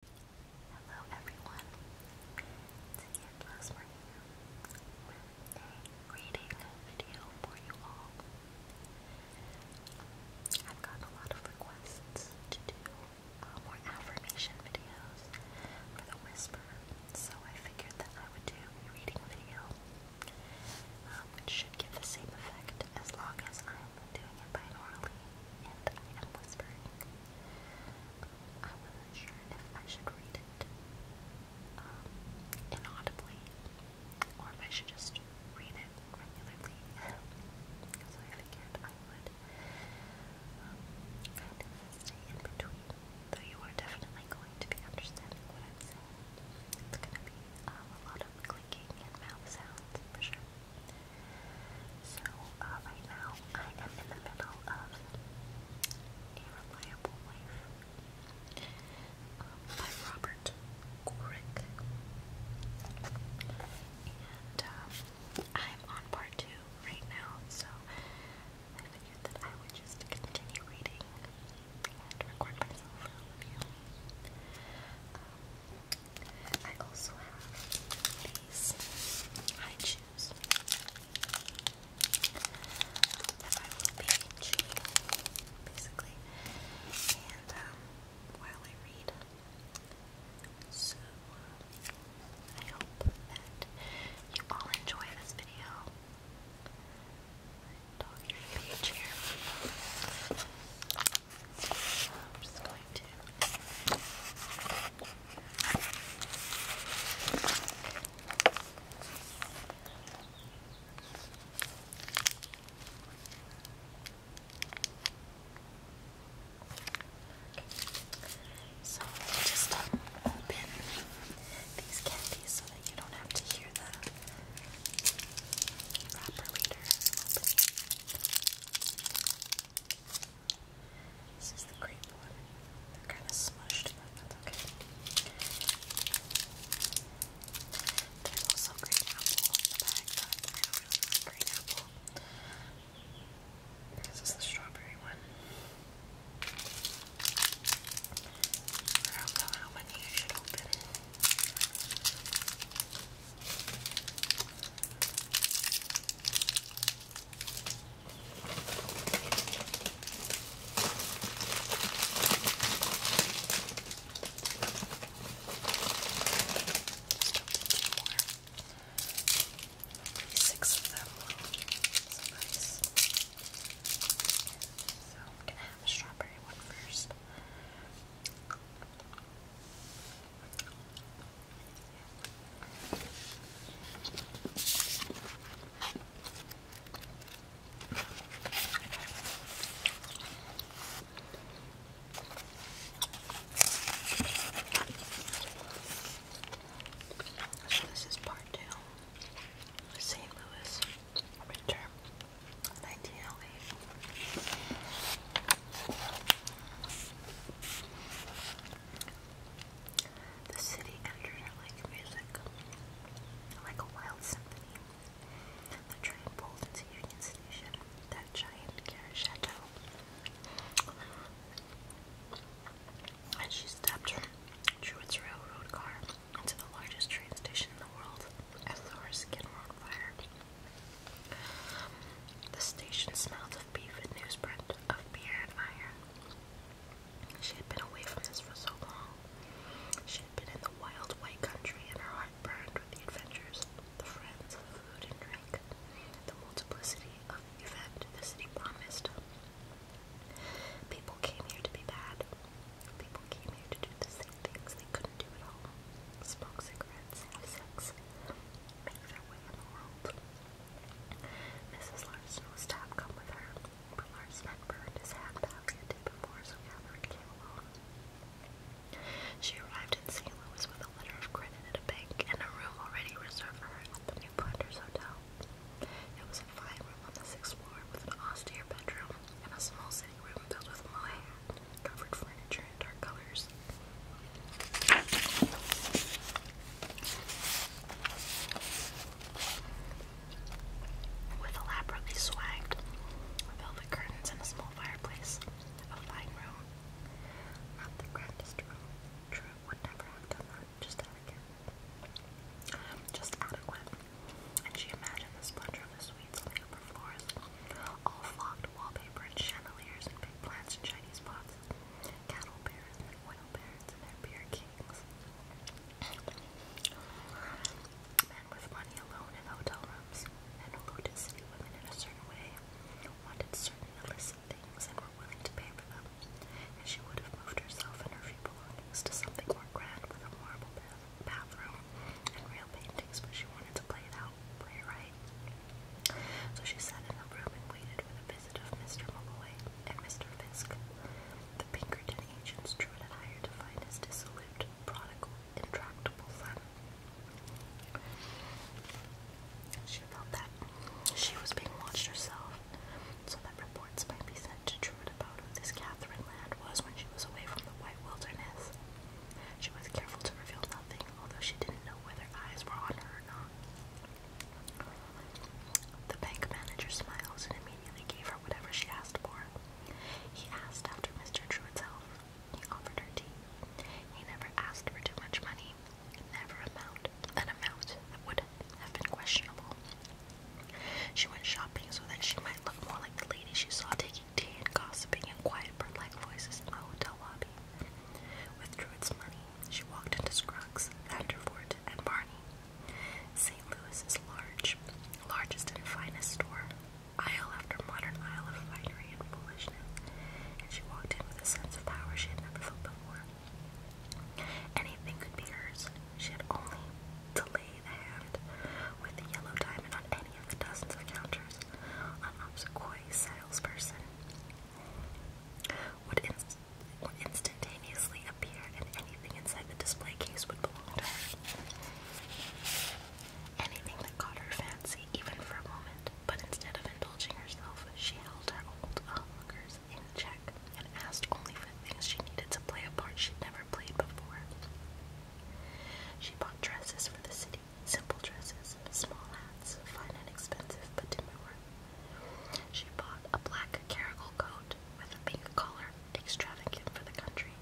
Hello everyone, today I'm last a reading video for you all. I've gotten a lot of requests to do uh, more affirmation videos for the Whisper, so I figured that I would do a reading video, which um, should give the same effect as long as I'm doing it binaurally, and I am whispering. I wasn't sure if I should read it um, inaudibly, or if I should just read it regularly, because I figured I would um, kind of stay in between, though you are definitely going to be understanding what I'm saying. It's going to be um, a lot of clicking and mouth sounds for sure. So, uh, right now I am in the middle of A Reliable Life um, Robert Gorick. And um, I'm on part two right now, so I figured that I would just continue reading and record myself for you. Um, I also have these high shoes that I will be chewing, basically, and um, while I read. So, I hope that you all enjoy this video. My dog is a page here. I'm just going to so I'll just um, open these candies so that you don't have to hear the wrapper later. Opening. This is the grape one. They're kind of smushed, but that's okay. There's also green apple in the bag, but I don't really like green apple. This is the strawberry one. I don't know how many I should open. I Six of them. So nice. So I'm gonna have a strawberry one first. So this is part two. St. Louis winter 1908. The city entered it like music, like a wild symphony. The train pulled into Union Station, that giant care And she stepped through its railroad car into the largest train station in the world. As the horse skin were on fire. The station smelled of beef and newsprint, of beer and iron. She had been away from this for so long. She had been in the wild white country, and her heart burned with the adventures, the friends, the food and drink, the multiplicity of the event the city promised. People came here to be bad. People came here to do the same things they couldn't do at home. Smoke cigarettes, have sex, make their Mrs. Larson was to have come with her, but Larson burned his handbag the day before, so Catherine alone. She arrived in St. Louis with a letter of credit at a bank and a room already reserved for her at the New Planters Hotel. It was a fine room on the sixth floor with an austere bedroom and a small sitting room filled with mohair, covered furniture texture and With elaborately swagged velvet curtains and a small fireplace, a fine room. Not the grandest room. True would never have done that, just elegant. Um, just adequate. And she imagined the splendor of the suites floors. All flocked wallpaper and chandeliers and big plants and Chinese pots cattle bears and oil bears and their beer kings. Men with money alone in hotel rooms and alluded city women in a certain way, wanted certain illicit things and were willing to pay for them, and she would have moved herself and her few belongings to something more grand with a marble bath bathroom and real paintings, but she wanted to play it out, play it right. So she sat in her room and waited for the visit of Mr. Malloy and Mr. Fisk. The Pinkerton agents Drew hired to find dissolute, prodigal, intractable son. She felt that she was being watched herself, so that reports might be sent to Druid about who this Catherine Land was when she was away from the White Wilderness. She was careful to reveal nothing although she didn't know whether eyes were on her or not. The bank manager smiles and immediately gave her whatever she asked for. He asked after Mr. Truitt's health. He offered her tea. He never asked for too much money. Never amount an amount that would have been questionable. She went shopping so that she might look more like the lady she saw taking tea and gossiping in quiet bird-like voices in the hotel lobby. With Druid's money, she walked into Scruggs, Vanderfort, and Barney. St. Louis's large, largest and finest store, aisle after modern aisle of finery and foolishness, and she walked in with a sense of power she had never felt before. Anything could be hers. She had only to lay the hand with the yellow diamond on any of the dozens of counters, on Obsequy salesperson, would, inst would instantaneously appear, and anything inside the display case would belong to her. Anything that caught her fancy, even for a moment, but instead of indulging herself, she held her old onlookers in check and asked only for things she needed to play a part she'd never played before. She bought dresses for the city simple dresses, small hats, fine and expensive but demure. She bought a black caracal coat with a pink collar, extravagant for the country,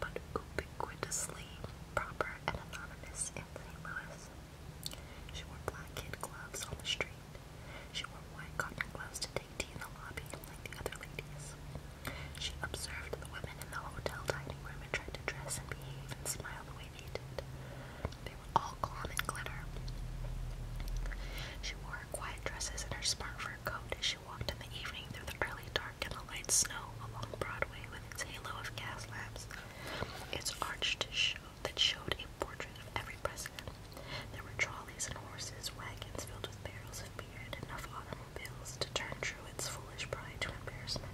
but ubiquitously proper and anonymous in St. Louis. She wore black kid gloves on the street. She wore white cotton gloves to take tea in the lobby, like the other ladies. She observed the women in the hotel dining room and tried to dress and behave and smile the way they were all gone in glitter. She wore her quiet dresses and her smart fur coat as she walked in the evening through the early dark and the light snow along Broadway with its halo of gas lamps. Its arched show that showed a portrait of every president. There were trolleys and horses, wagons filled with barrels of beer and enough automobiles to turn Truett's foolish pride to embarrassment.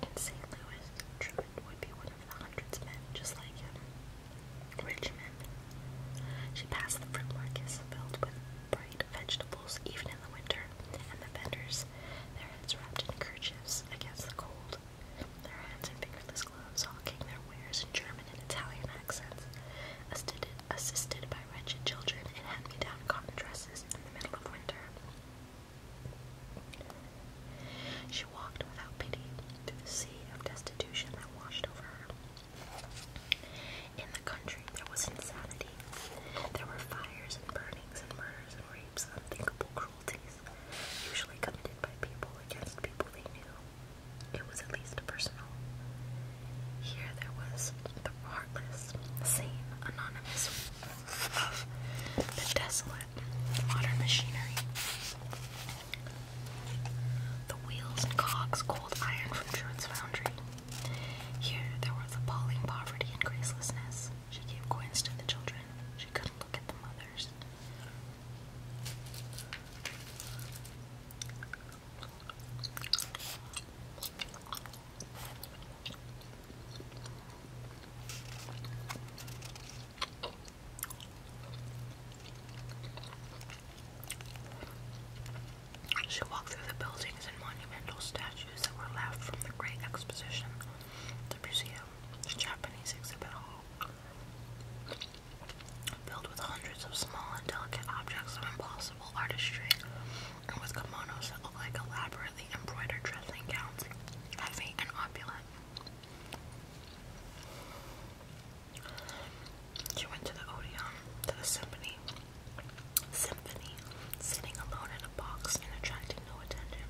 In St. Louis, Truman would be one of the hundreds of men just like him. Rich men. She passed the fruit market, filled with bright vegetables even in the winter, and the vendors, their heads wrapped in kerchiefs against the cold, their hands in fingerless gloves hawking their wares in German and Italian accents, assisted, assisted by wretched children in hand-me-down cotton dresses in the middle of winter. She walked without pity through the sea of destitution that washed over her. In the country, there was insanity. There were fires and burnings and murders and rapes, unthinkable cruelties, usually committed by people against people they knew. It was at least personal. Here there was the heartless, sane, anonymous of the desolate modern machinery. The wheels and cogs cold iron from Druid's foundry. Here there was appalling poverty and gracelessness. She gave coins to the children. She couldn't look at the mothers. She walked through the buildings and monumental statues that were left from the Great Exposition, the museum, the Japanese exhibit hall, filled with hundreds of small and delicate objects of impossible artistry, and with kimonos like elaborately embroidered dressing gowns heavy and opulent. She went to the Odeon, to the symphony, symphony, sitting alone in a box and attracting no attention.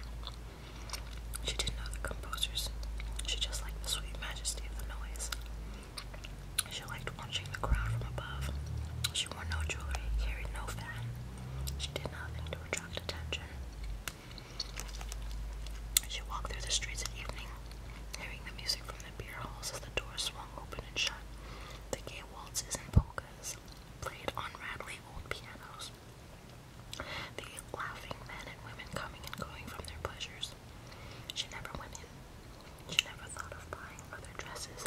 She didn't know the composers. She just liked the sweet majesty of the noise. She liked watching the crowd from above. She wore no jewelry, carried no fan. She did nothing to attract attention. She walked through the streets at evening, hearing the music from the beer halls as the doors swung open and shut. The gay waltzes and polkas played on rattling old pianos. The laughing men and women coming and going from their pleasures. She never went in. She never thought of buying other dresses,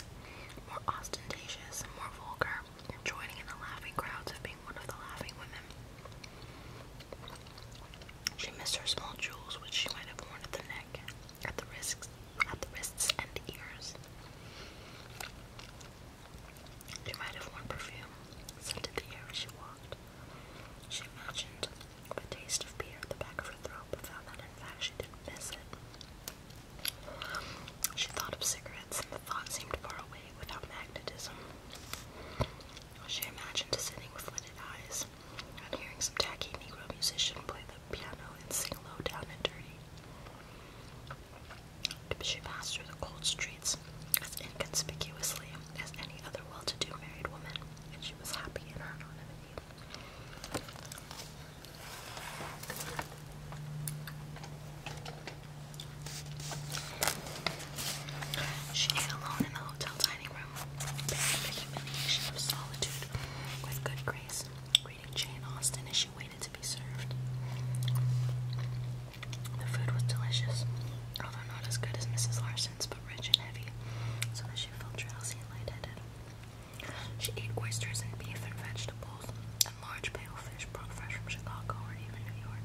more ostentatious and more vulgar, joining in the laughing crowds of being one of the laughing women. She missed her small jewels, which she might have worn at the neck, at the wrists, at the wrists and ears. She might have worn perfume, scented the air as she walked. She imagined the taste of beer at the back of her throat, but found that in fact she didn't miss it. She thought of cigarettes, and the thought seemed far away without magnetism. She imagined sitting with eyes and hearing some tacky Negro musician play the piano and sing low down and dirty. She passed through the cold streets as inconspicuously as any other well to do married woman, and she was happy in her anonymity. She ate alone in the hotel dining room, bearing humiliation of solitude with good grace, greeting Jane Austen as she waited to be served. The food was delicious, although not as good as Mrs. Larson's, but rich and heavy, so that she felt drowsy and lightheaded. She ate oysters and beef and vegetables, and large pale fish brought fresh from Chicago or even New York.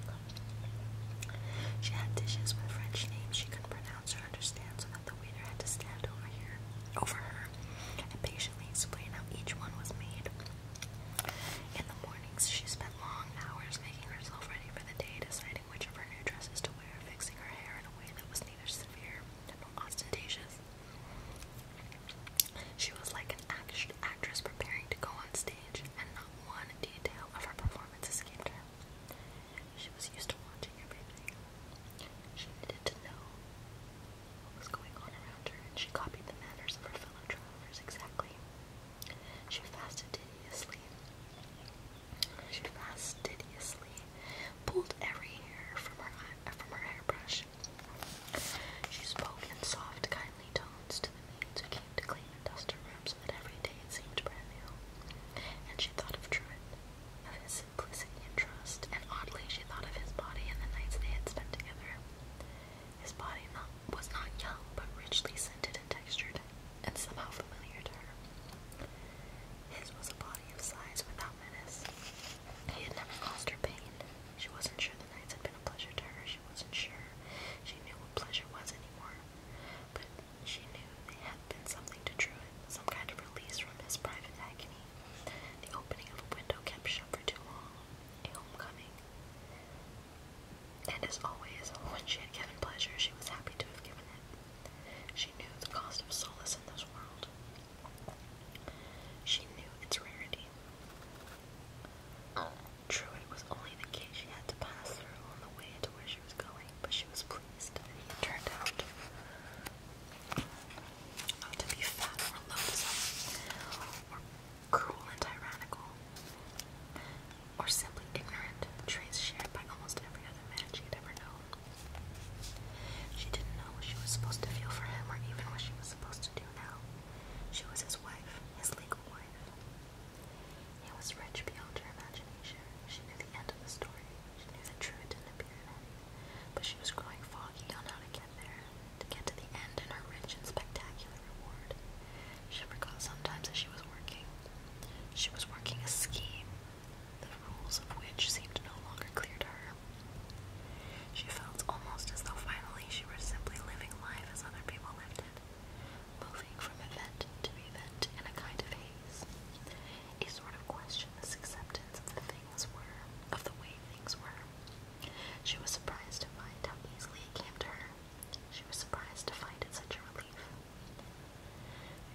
She had dishes with French names she couldn't pronounce or understand, so that the waiter had to stand over here, over her, and patiently explain how each one was made. In the mornings, she spent long hours making herself ready for the day, deciding which of her new dresses to wear, fixing her hair in a way that was neither severe nor ostentatious. She was like an action actress preparing to go on stage, and not one detail of her performance escaped her. She was used to watching everything. She needed to know what was going on around her, she copied the manners of her fellow travelers exactly. She fastidiously, she fastidiously pulled every hair from her from her hairbrush. She spoke in soft, kind friendly tones to the maids who came to clean and dust her room so that every day it seemed brand new. And she thought of Truett, of his simplicity and trust, and oddly she thought of his body and the nights they had spent together. His body not, was not young, but richly scented and textured, and somehow familiar to her. His was a body of size without menace. He had never caused her pain. She wasn't sure the nights had been a pleasure to her, she wasn't sure she knew what pleasure was anymore. But she knew they had been something to Druid, some kind of release from his private agony. The opening of a window kept shut for too long, a homecoming. And as always, when she had given pleasure, she was happy to have given it. She knew the cost of solace in this world. She knew its rarity. True, it was only the gate she had to pass through on the way to where she was going, but she was pleased that he had turned out not oh, to be fat or loathsome, or cruel and tyrannical, or simply ignorant, traits shared by almost every other man she had ever known. She didn't know what she was supposed to feel for him or even what she was supposed to do now. She was his wife, his legal Warner. was rich beyond imagination. She knew the end of the story. She knew the truth didn't appear But she was growing foggy on how to get there, to get to the end and her rich and spectacular reward. She forgot sometimes that she was working. She was working a scheme, the rules of which seemed no longer clear to her. She felt almost as though finally she were simply living life as other people lived it, moving from event to event in a kind of haze. A sort of questionless acceptance of the things were, of the way things were. She was surprised to find how easily it came to her. She was surprised to find it such a relief.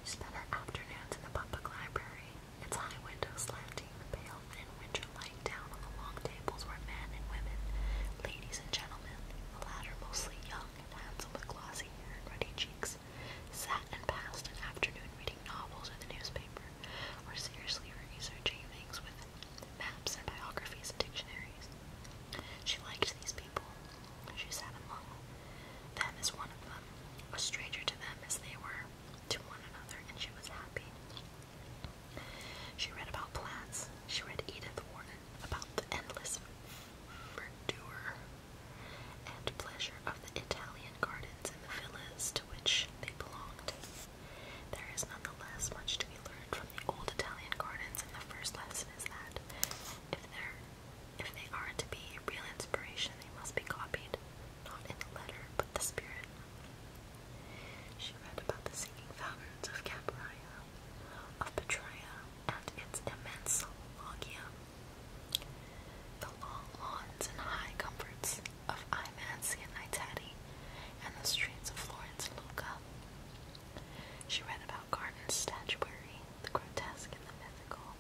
She spent her afternoons in the public library, its high windows slanting pale thin winter lying down on the long tables were men and women, ladies and gentlemen, the latter mostly young and handsome with glossy hair and ruddy cheeks, sat and passed an afternoon reading novels or the newspaper, or seriously researching things with maps and biographies and dictionaries. She liked these people. She sat among them as one of them, a stranger to them as they were to one another, and she was happy. She read about plants. She read Edith Wharton about the endless verdure and pleasure of the Italian gardens and the villas to which they belonged. There is nonetheless much to be learned from the old Italian gardens, and the first lesson is that if they're if they are to be a real inspiration, they must be copied, not in the letter, but the spirit. She read about the singing fountains of Capraia, of Petrea, and its immense loggia, the long lawns and high comforts of Imanzi and Itati, and the streets of Florence Luca. She read about gardens, statuary, the grotesque and the mythical.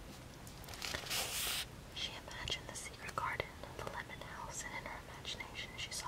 She imagined the secret garden, the lemon house, and in her imagination she saw